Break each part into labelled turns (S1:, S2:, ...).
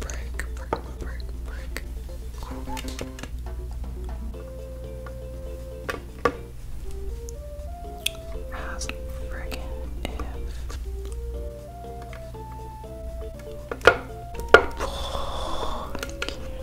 S1: Break, break, break, break. As friggin' if. Oh, thank you.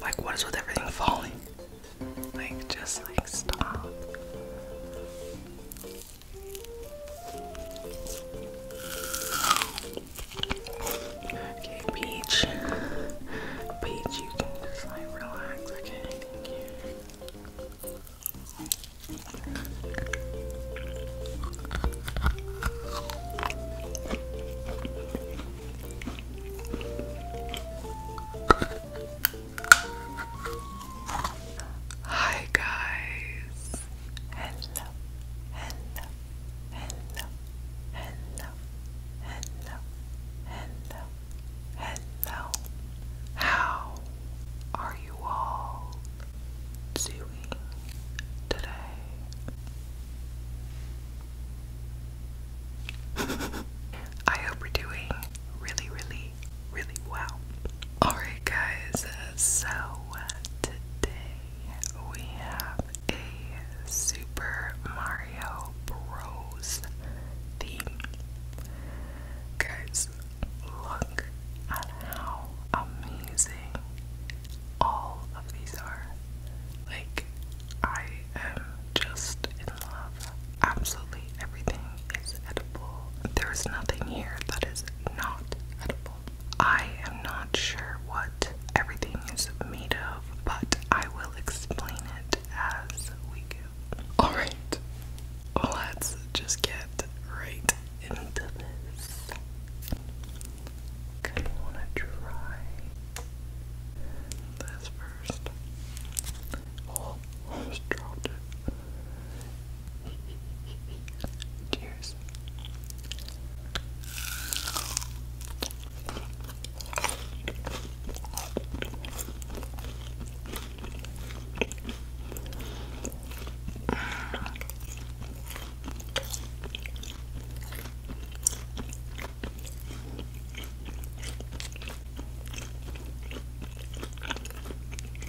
S1: like, what is with everything falling? Like, just like, stop. Okay, Peach. Peach, you can just like relax, okay? Hi guys. Hello. Hello. Hello. Hello. Hello. Hello. Hello. How are you all doing today? I hope we're doing really, really really wow. Alright, guys, so today we have a Super Mario Bros. theme. Guys, look at how amazing all of these are. Like, I am just in love, absolutely everything is edible. There is nothing here that is not edible. I am not sure what everything is made of, but I will explain it as we go. Alright, let's just get right into this. Kind of want to try this first. Oh, almost dropped it. Cheers.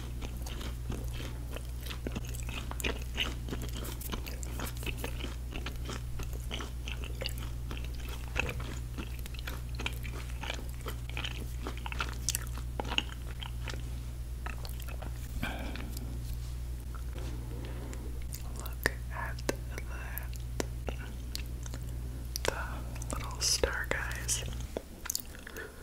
S1: Look at that. The little star guys.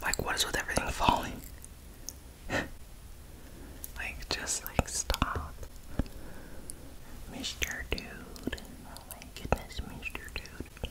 S1: Like, what is with everything falling? like, just like, stop. Mr. Dude. Oh goodness, Mr. Dude.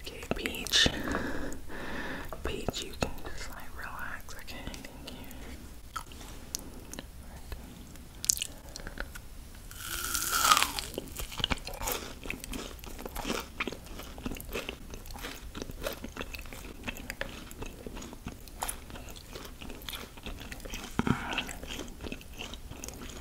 S1: Okay, Peach. Peach, you can just like relax, okay?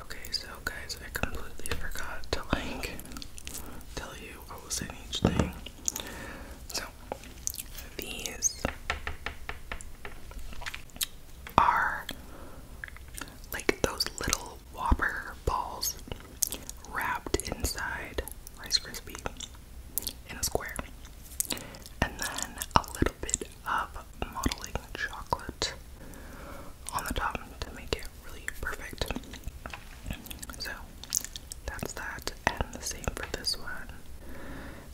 S1: Okay, so guys, I completely forgot to like tell you what was in each thing. So these are like those little whopper balls wrapped inside Rice Krispie in a square. And then a little bit of modeling chocolate on the top to make it really perfect. So that's that. And the same for this one.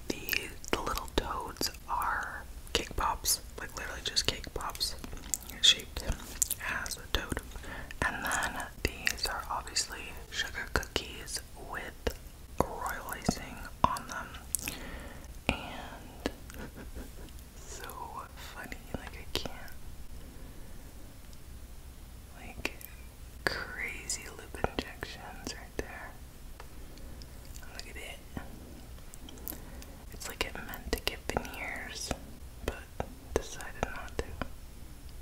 S1: The, the little toads are cake pops, like literally just cake pops shaped as a toad. And then these are obviously sugar cookies with royal icing on them. And so funny, like I can't. Like crazy lip injections right there. Look at it. It's like it meant to get veneers, but decided not to.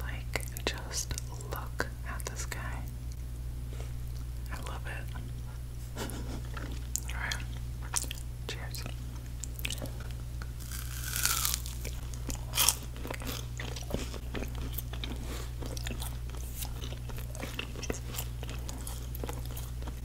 S1: Like, just look at this guy. I love it. Alright. Cheers.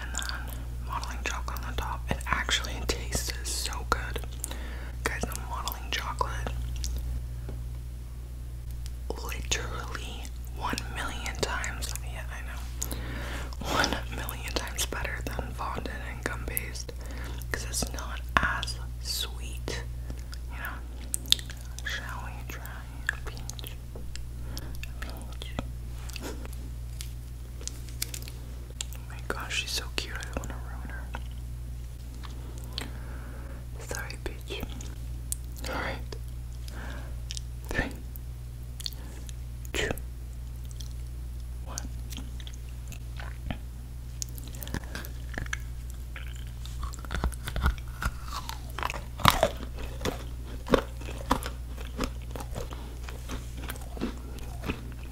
S1: and then modeling chocolate on the top. It actually tastes so good. Guys, the modeling chocolate literally one million times, yeah, I know, one million times better than fondant and gum paste because it's not as sweet, you Shall we try a peach? A peach. Oh my gosh, she's so cute. I don't want to ruin her. Sorry, bitch. Alright. Three.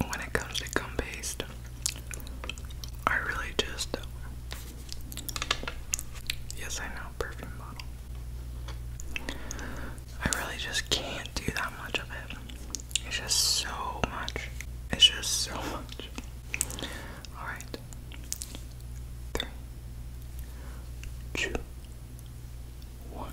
S1: When it comes to gum paste, I really just. Yes, I know, perfume bottle. I really just can't do that much of it. It's just so much. It's just so much. Alright. Three, two, one.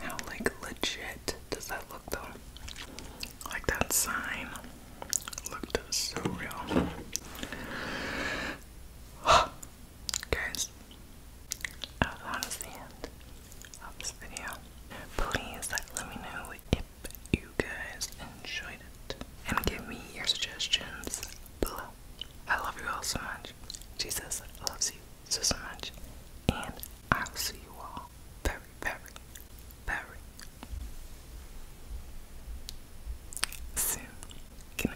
S1: How like legit does that look though? Like that sign looked so real. Guys, that is the end of this video. Please let me know if you guys enjoyed it and give me your suggestions below. I love you all so much much. Jesus loves you so much. And I will see you all very, very, very soon. Good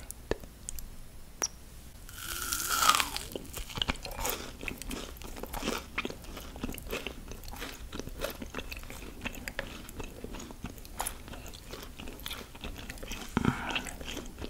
S1: night.